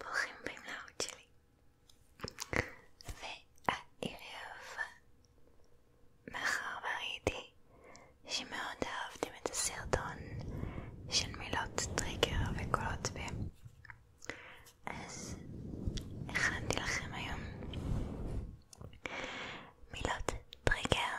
ברוכים במלאות שלי והערב מאחר וראיתי שמאוד אהבתם את הסרטון של מילות טריגר וקולות פה אז הכנתי לכם היום מילות טריגר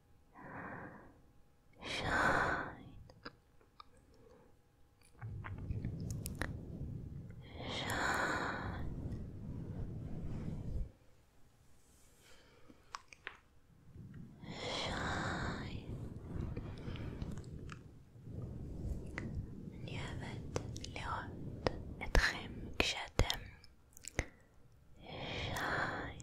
shine, shine. אני אוהבת לראות אתכם כשאתם שיין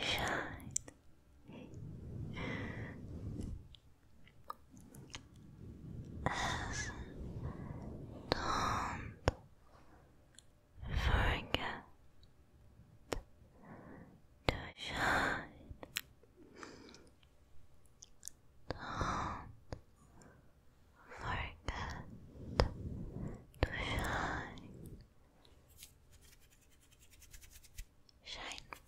Shine. As don't forget to shine. Don't forget to shine shine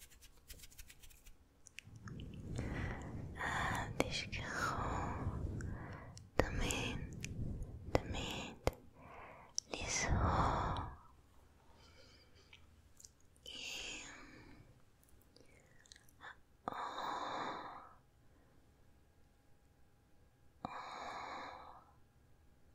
ah, het is gewoon de min de meid is hoog Oh. oh.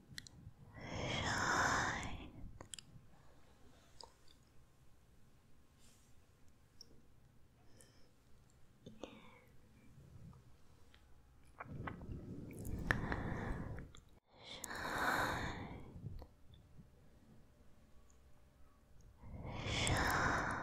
shine. Shine. Shine.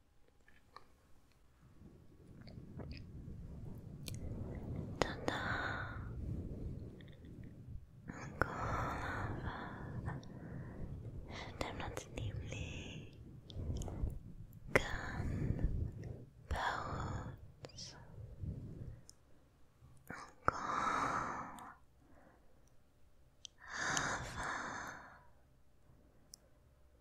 Tanda Angolava Demnatively Gun Boats Angol Ava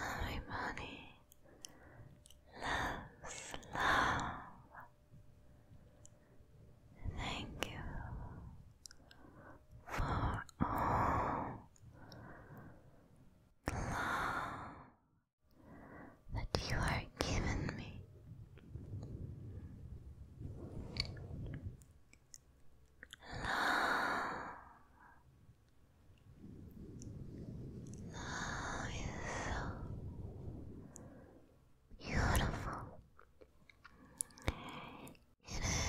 Everybody loves love. Thank you for all love that you are giving me. Love. Love is so beautiful. It is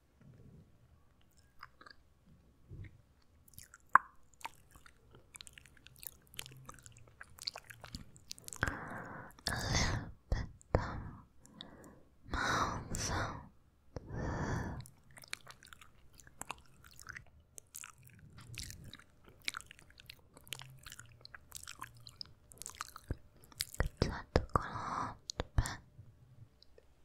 A little bit of mouth sound. It's not to go on to bed.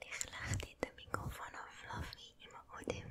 Licht lag dit de microfoon of Fluffy in mijn oordeel.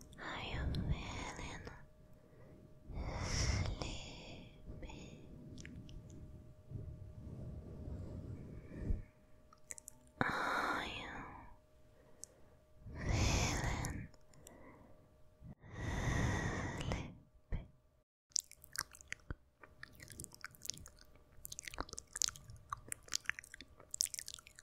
Are you feeling sleepy? Are you feeling sleepy?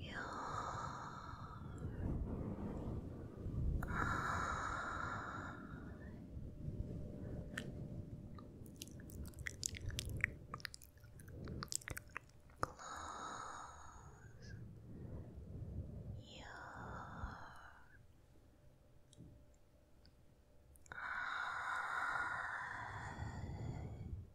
your eye. Close your Eyes.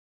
Close your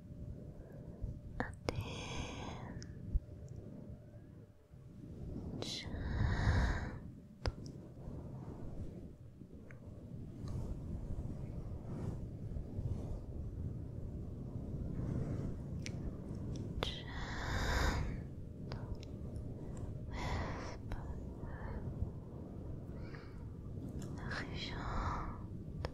and in gentle gentle whisper L'argent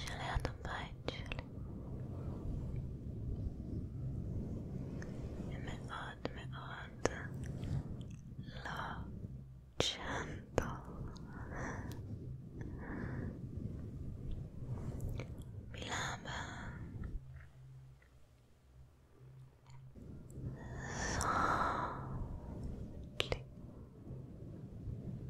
Желе отдыхает, מאוד מאוד לא gentle מילה הבאה softly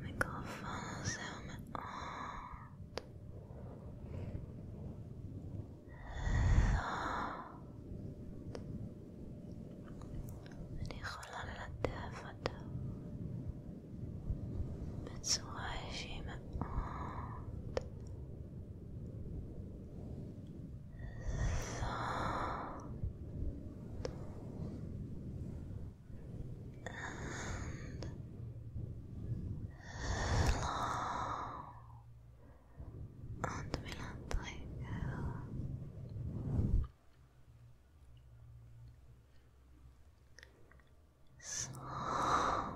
Mikrofonu zerme alt אני יכולה ללטף אותו בצורה שהיא מאוד זאת And long and we will not let Slowly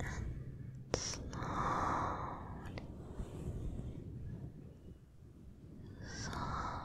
and slowly, soft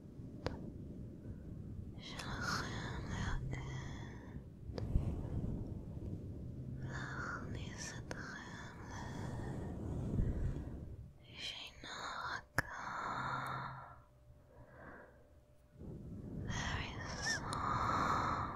שלכם להאט, להכניס אתכם לשינה רכה, very soft, sleep.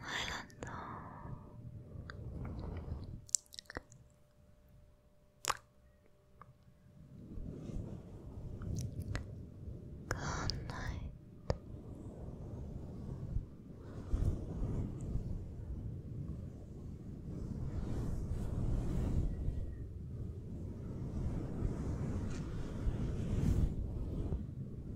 Mylando. Good night. Good night.